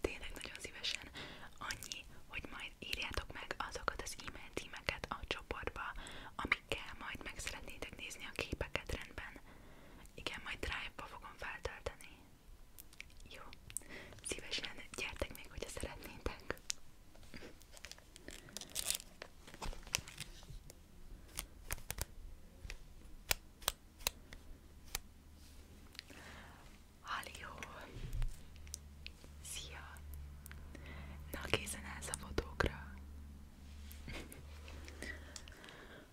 Tényleg nagyon szívesen annyi, hogy majd írjátok meg azokat az e-mail címeket a csoportba, amikkel majd meg szeretnétek nézni a képeket rendben. Igen, majd drive-ba fogom feltölteni. Jó, szívesen gyertek még, hogyha szeretnétek. Halljó! Szia! Na készen állsz a fotókra?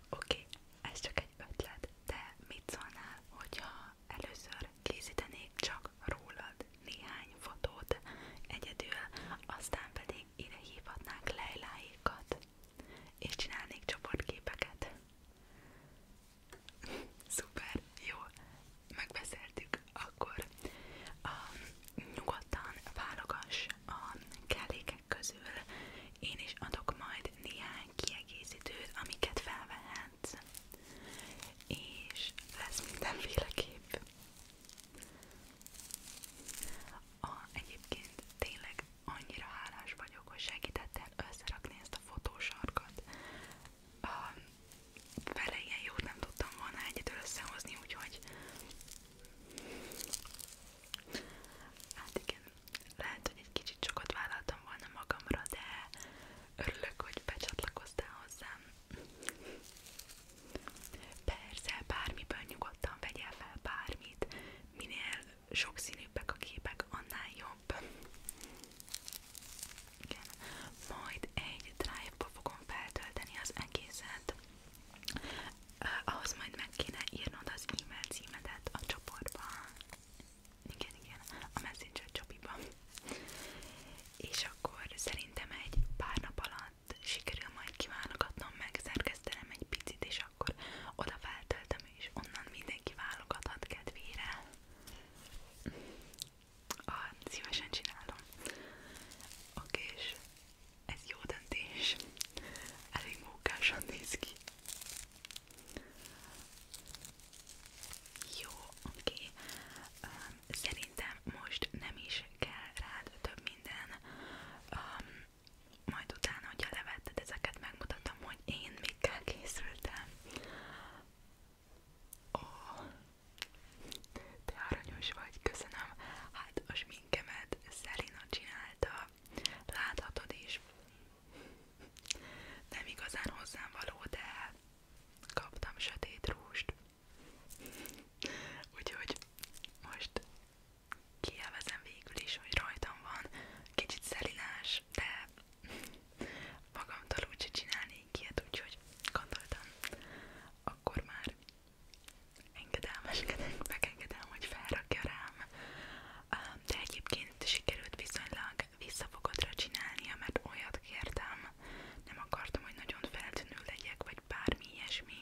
Oké, okay, ez csak egy ötlet, de mit szólnál, hogyha először készítenék csak rólad néhány fotót egyedül, aztán pedig ide hívhatnánk lejláikat, és csinálnék csoportképeket. Szuper, jó, megbeszéltük, akkor um, nyugodtan válogass a kellékek közül, én is adok majd néhány kiegészítőt, amiket felvehetsz, és lesz mindenféle kép. A, egyébként tényleg annyira hálás vagyok, hogy segítettél összerakni ezt a fotósarkat. A, vele ilyen jót nem tudtam volna egyedül összehozni, úgyhogy hát igen, lehet, hogy egy kicsit sokat vállaltam volna magamra, de örülök, hogy becsatlakoztál hozzám. Persze, bármiből nyugodtan vegyél fel bármit, minél sokszínűbbek a képek, annál jobb. Igen. Majd egy drive-ba fogom feltölteni az egészet. Uh, ahhoz majd meg kéne írnod az e-mail címedet a csoportba. Igen, igen, a messenger csopiba. És akkor szerintem egy pár nap alatt sikerül majd kiválogatnom, megszerkesztenem egy picit, és és akkor oda feltöltöm, és onnan mindenki válogathat kedvére. Ah, szívesen csinálom. Oké, és ez jó döntés. Elég mókásan néz ki. Jó, oké. Um, szerintem most nem is kell rád több minden. Um, majd utána, hogyha levetted ezeket, megmutatom, hogy én mikkel készültem. Ó, oh, te aranyos vagy, köszönöm. Hát a sminkemet Szelina csinálta, láthatod is. Nem igazán hozzám való, de kaptam sötét rúst. Úgyhogy most kielvezem végül is, hogy rajtam van. Kicsit szelinás, de magamtól úgyse csinálnék ilyet, úgyhogy gondoltam, akkor már engedelmeskedek, megengedem, hogy felrakja rám. De egyébként sikerült viszonylag visszafogotra csinálnia, mert olyat kértem, nem akartam, hogy nagyon feltűnő legyek, vagy bármi ilyesmi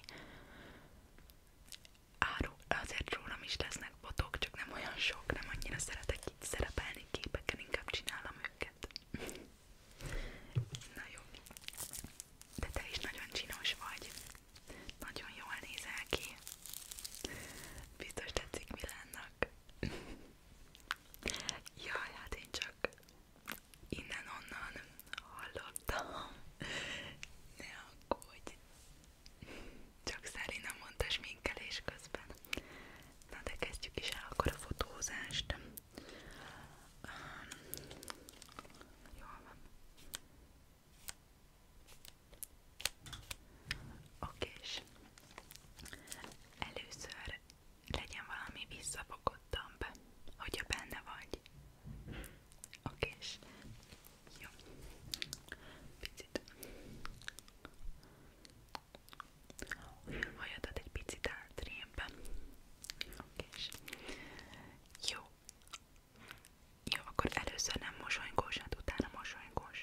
áru, azért rólam is lesznek botok, csak nem olyan sok, nem annyira szeretek itt szerepelni képeken, inkább csinálom őket. Na jó. De te is nagyon csinos vagy. Nagyon jól nézel ki. Biztos tetszik Milánnak. Jaj, hát én csak innen-onnan hallottam, ne aggódj, csak Szári nem mondta sminkelés közben. Na de kezdjük is el akkor a fotózást. Um, jól van. Oké, és először legyen valami visszafogottam be, hogyha benne vagy. Oké, és jó. Picit. Olyan hajadat egy picit átrémben. Oké, és jó. Jó, akkor először nem mosolygós, hát utána mosolygós.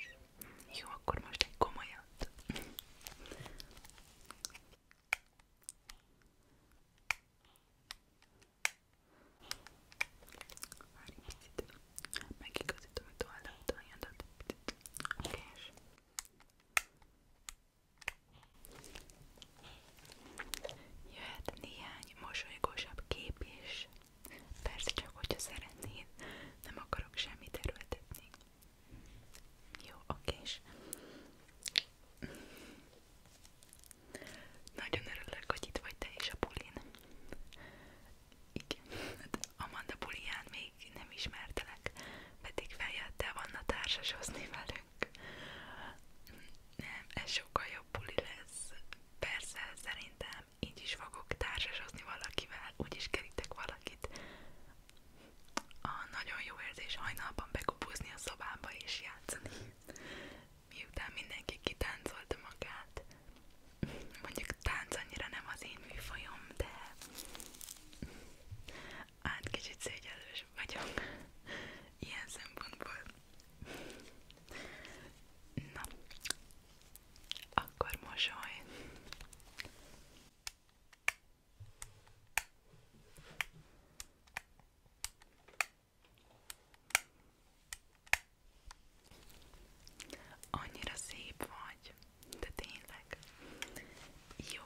Jó, akkor most egy komolyat. Várj egy picit. Megigazítom itt oldalt a hajjadat. És... Jöhet néhány mosolygósabb kép is. Persze csak, hogyha szeretnéd. Nem akarok semmit erőltetni. Jó, oké. Nagyon örülök, hogy itt vagy te is a bulin. Igen, hát, Amanda buliján még nem ismertelek, pedig feljöttél volna társasozni velünk. Nem, ez sokkal jobb buli lesz. Persze, szerintem így is fogok társasozni valakivel, úgyis kerítek valakit. A nagyon jó érzés hajnalban bekupuzni a szobámba és játszani miután mindenki kitáncolta magát. Mondjuk tánc annyira nem az én műfajom, de hát kicsit szégyellős vagyok ilyen szempontból. Na, akkor mosoly! Annyira szép vagy, de tényleg. Jó,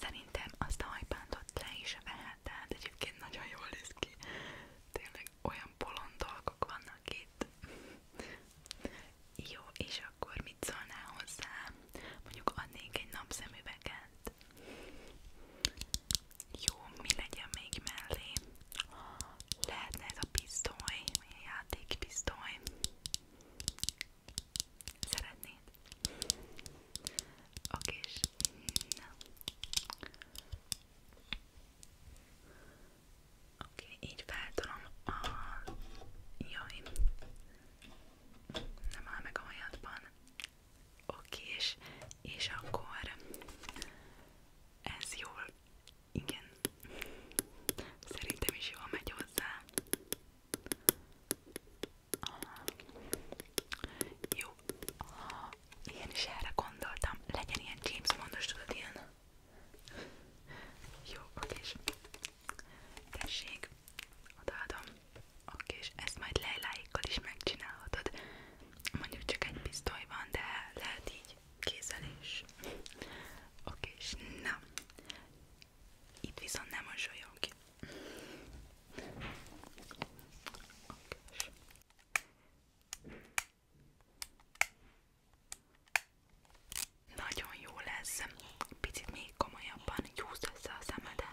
szerintem azt a hajpántot le is veheted, egyébként nagyon jól néz ki. Tényleg olyan bolond dolgok vannak itt. Jó, és akkor mit szólnál hozzá? Mondjuk adnék egy napszemüveget. Jó, mi legyen még mellé? Lehetne ez a pisztoly, milyen játékpisztoly? Szeretnéd? Oké, és... Oké, okay, így feltolom a... Jaj! Nem áll meg a hajadban. Oké, és, és akkor ez jól, igen, szerintem is jól megy hozzá. Jó, én is erre gondoltam, legyen ilyen James Bondos, tudod Jó, és tessék, odaadom, oké, és ezt majd lejláikkal is megcsinálhatod, mondjuk csak egy pisztoly van, de lehet így kézzel is, oké, és na, itt viszont nem mosolyog ki, oké, nagyon jó lesz, picit még komolyabban gyúzd össze a szemedet.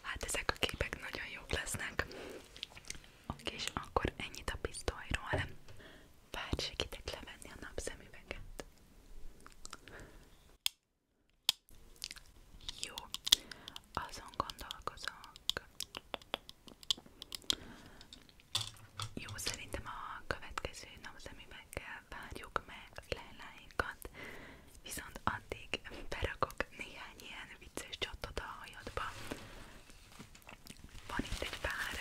Hát ezek a képek nagyon jók lesznek. Oké, és akkor ennyit a pisztolyról. Várj, segítek levenni a napszemüveget. Jó, azon gondolkozok. Jó, szerintem a következő napszemüveg ezekkel várjuk meg a lejláinkat, viszont addig berakok néhány ilyen vicces csattot a hajadba. Van itt egy pár.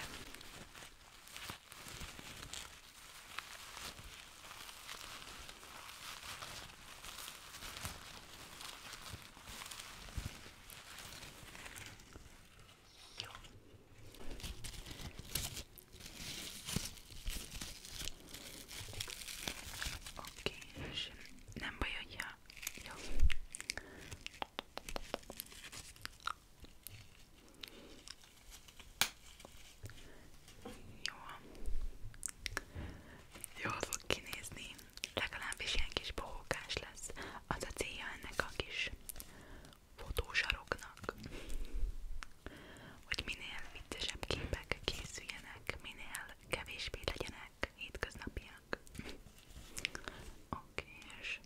Jó. Oké, és nem baj, hogyha jó. Jó. Jól fog kinézni. Legalábbis ilyen kis bohókás lesz. Az a célja ennek a kis fotósaroknak hogy minél viccesebb képek készüljenek, minél kevésbé legyenek hétköznapiak. Oké, okay, és...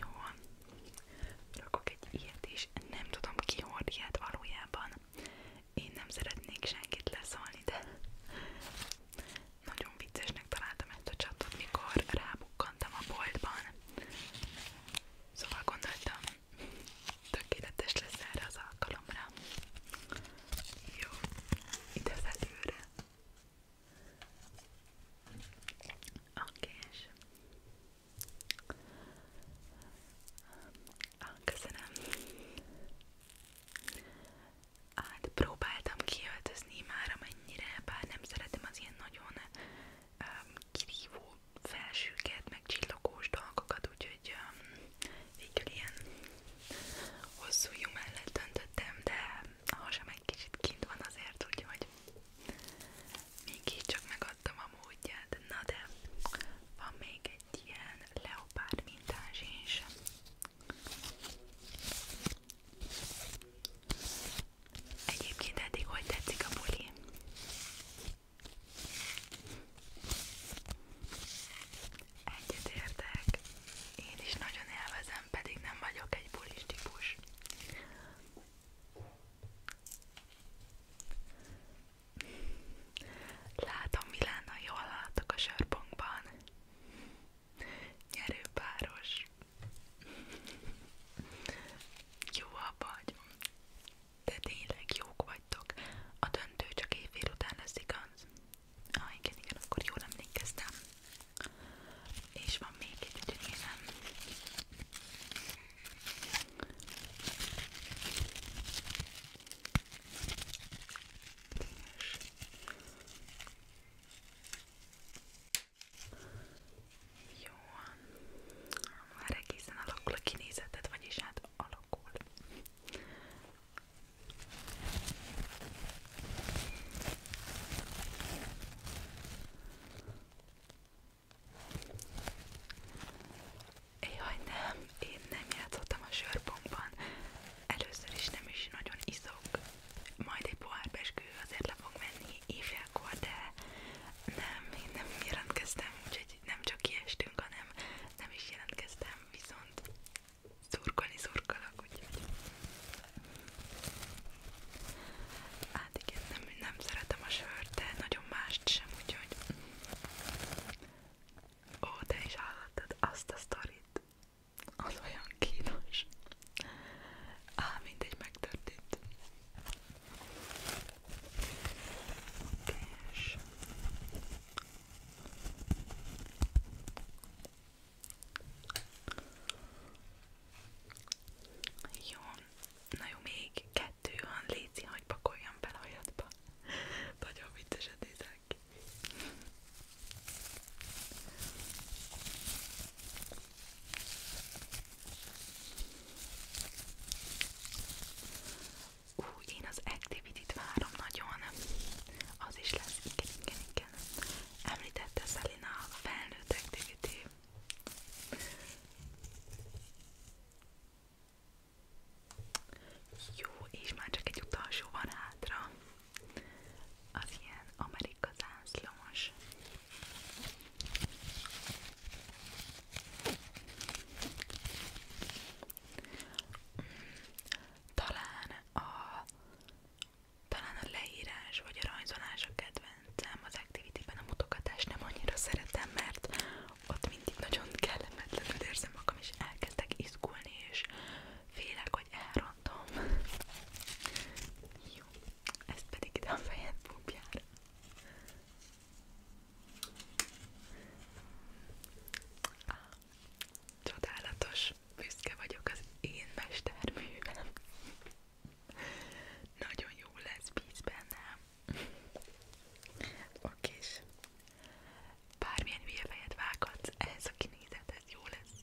Jó. Rakok egy ilyet is. Nem tudom ki hord ilyet valójában. Én nem szeretnék senkit leszólni, de nagyon viccesnek találtam ezt a csatot, mikor rá felbukkantam a boltban. Szóval gondoltam, tökéletes lesz erre az alkalomra. Jó, ide az előre. Oké, és... Ah, köszönöm. Hát próbáltam kiöltözni már amennyire, bár nem szeretem az ilyen nagyon um, kirívó felsőket, meg csillogós dolgokat, úgyhogy um, végül ilyen hosszú jó mellett döntöttem, de a hasam egy kicsit kint van azért, úgyhogy mégis csak megadtam a módját. Na de van még egy ilyen leopárd mintás is. Egyébként eddig hogy tetszik a buli? Egyetértek, én is nagyon élvezem, pedig nem vagyok egy bulis típus. Látom, Milána, jól láttok a sörpunkban. Nyerőpáros. Jó vagy. De tényleg jók vagytok. A döntő csak évfél után lesz igaz. Ah, igen, igen, akkor jól emlékeztem. És van még egy ügyönélem. Jó, már egészen alakul a kinézeted, vagyis hát alakul. Jaj nem, én nem játszottam a sörbonkban. Először is nem is nagyon iszok, majd egy pohár peskő azért le fog menni éjfélkor, de nem, én nem jelentkeztem, úgyhogy nem csak kiestünk, hanem nem is jelentkeztem, viszont szurkolni szurkolok, úgyhogy hát igen, nem, nem szeretem a sört, de nagyon mást sem, úgyhogy ó, te is hallottad azt a sztorit az olyan kínos. Á, mindegy, megtörtént. És... Jó, na jó, még kettő van, léci, hogy pakoljam bele a hajadba. Nagyon vicces a ki. Úgy én az Activity-t várom nagyon, az is lesz, igen, igen, igen. Említette Szelina a felnőtt Activity. Jó, és már csak egy utolsó van hátra az ilyen amerika zászlós. Talán a, talán a leírás vagy a rajzolás a kedvencem, az activity-ben a mutogatást nem annyira szeretem, mert ott mindig nagyon kellemetlenül érzem magam, és elkezdek izgulni, és félek, hogy elrontják mondom. Jó, ezt pedig ide a fejed búbjára. Ah, csodálatos, büszke vagyok az én mesterművem. Nagyon jó lesz, bíz bennem. Oké, bármilyen hülye fejet vághatsz, ehhez a kinézeted jó lesz.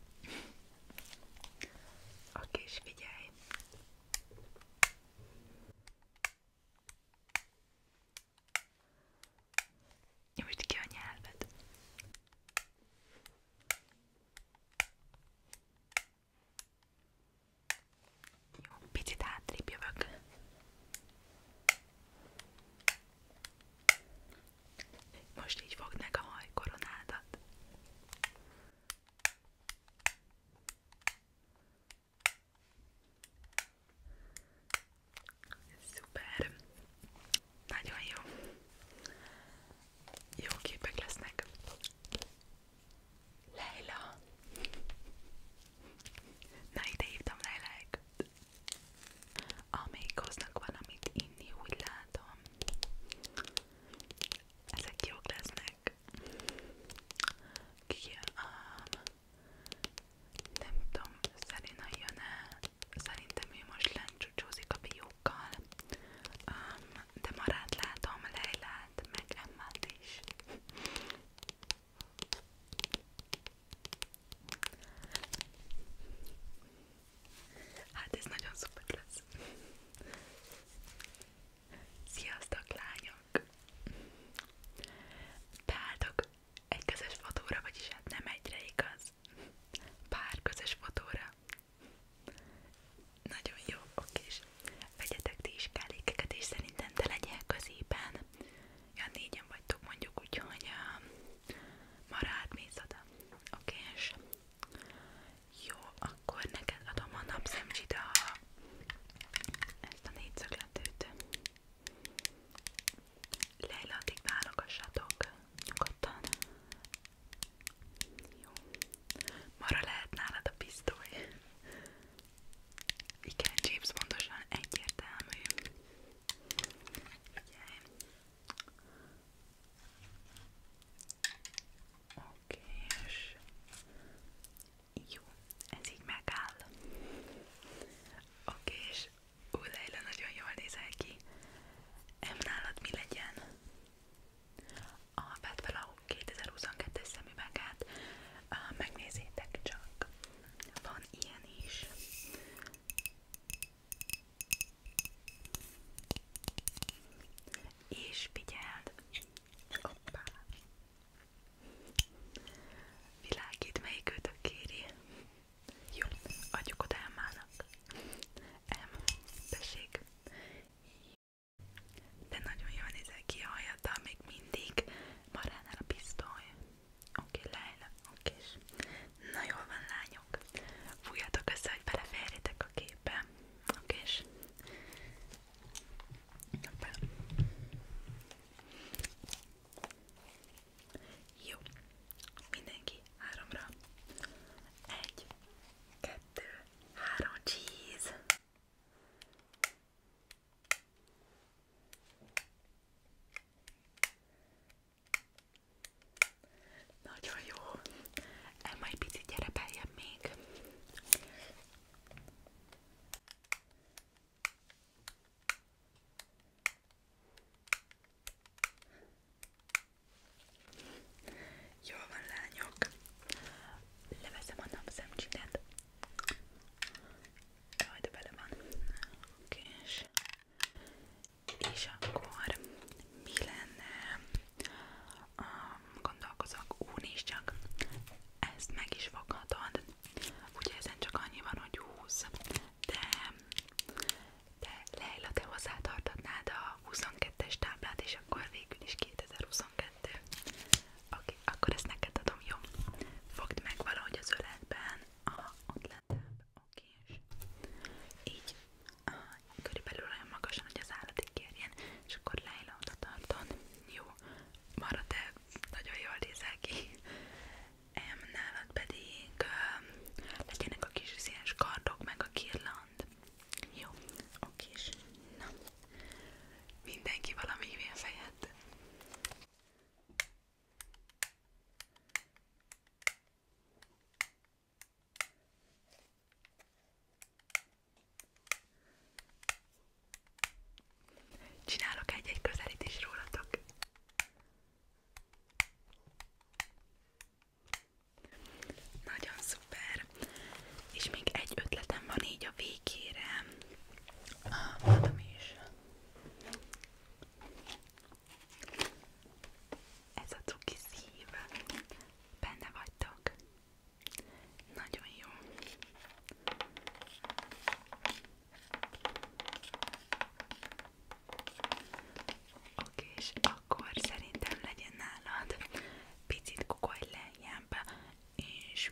Oké, és figyelj! Nyújtsd ki a nyelved! Jó, picit hátrébb jövök. Most így fogd meg a hajkoronádat. Szuper! Nagyon jó! Jó képek lesznek! Leila! Na ide hívtam Leiláékat! amelyik hoznak valamit inni, úgy látom. Ezek jók lesznek. Ki um, nem tudom, Szerina jön-e? Szerintem ő most lencsucsózik a fiúkkal. Um, de marát látom, Leilát, meg Emmát is. Hát ez nagyon szuper lesz. Sziasztok lányok! Beálltok egy közös fotóra, vagyis hát nem egyre igaz. Pár közös fotóra. Nagyon jó, oké. Vegyetek ti is kellékeket, és szerintem te legyél középen ja, négyen vagytok mondjuk, úgyhogy uh, marád mész oda. Oké, okay, és jó, akkor neked adom a napszemcsit a ezt a négyszögletőt. Leila, addig válogassatok nyugodtan. Jó. Mara lehet nálad a pisztoly. Igen, James pontosan egyértelmű. Figyelj. Oké, és jó, ez így megáll. Oké, és Udájla nagyon jól nézel ki. Em nálad mi legyen? A Betvala 2022-es szemüveget megnézzétek csak. Van ilyen is. És figyeld! Hoppá! Világít, melyik őtök kéri. Jó, adjuk oda Emmának. Em, tessék. De nagyon jól nézel ki a hajadal még mindig. Maránál a pisztoly. Oké, okay, Leila, oké. Okay. Na jól van, lányok. Fújjatok össze, hogy beleférjetek a képbe. Oké, okay. Jó. Mindenki háromra. Egy, kettő, három, cheese. Nagyon jó. El majd picit gyere beljebb még. Jól van, lányok. Leveszem a napszemcsidet. Jaj, de bele van. Oké, és, és akkor mi lenne? Um, gondolkozok, úgy is csak ezt meg is foghatod. Ugye ezen csak annyi van, hogy 20, de, de Leila, te hozzátartatnád a 22-es táblát, és akkor végül is 2022. Oké, okay, akkor ezt neked adom, jó? Fogd meg valahogy az öletben, aha, ott lentebb, okés így a, körülbelül olyan magasan, hogy az állatig kérjen és akkor Leila oda tarton jó, marad de nagyon jól nézel ki em, nálad pedig um, legyenek a kis színes kardok meg a kirland jó, okés na mindenki valami hülyén fejed Csinálok egy-egy közelítés rólatok. Nagyon szuper! És még egy ötletem van így a végére. Ah, mondom is. Ez a cuki szív. Benne vagytok. Nagyon jó. Oké, és akkor szerintem legyen nálad picit kukolj lejjebb, és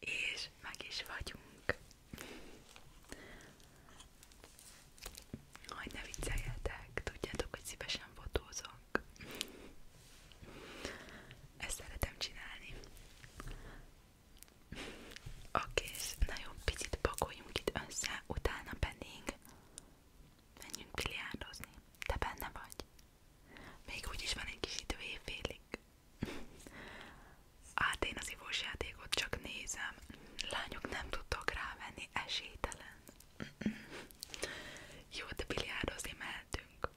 és meg is vagyunk. Hogy ne vicceljetek, tudjátok, hogy szívesen fotózok. Ezt szeretem csinálni. Oké, és nagyon picit pakoljunk itt össze, utána pedig menjünk biliárdozni. Te benne vagy? Még úgyis van egy kis idő évfélig. Hát én az ivós játékot csak nézem. Lányok nem tudtok rávenni, esélytelen. Jó, de biliárdozni mehetünk.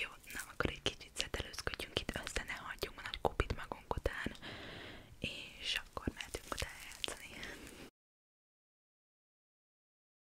Jó, na akkor egy kicsit szetelőzködjünk itt össze, ne hagyjunk a nagy kupit magunk után, és akkor mehetünk utána játszani.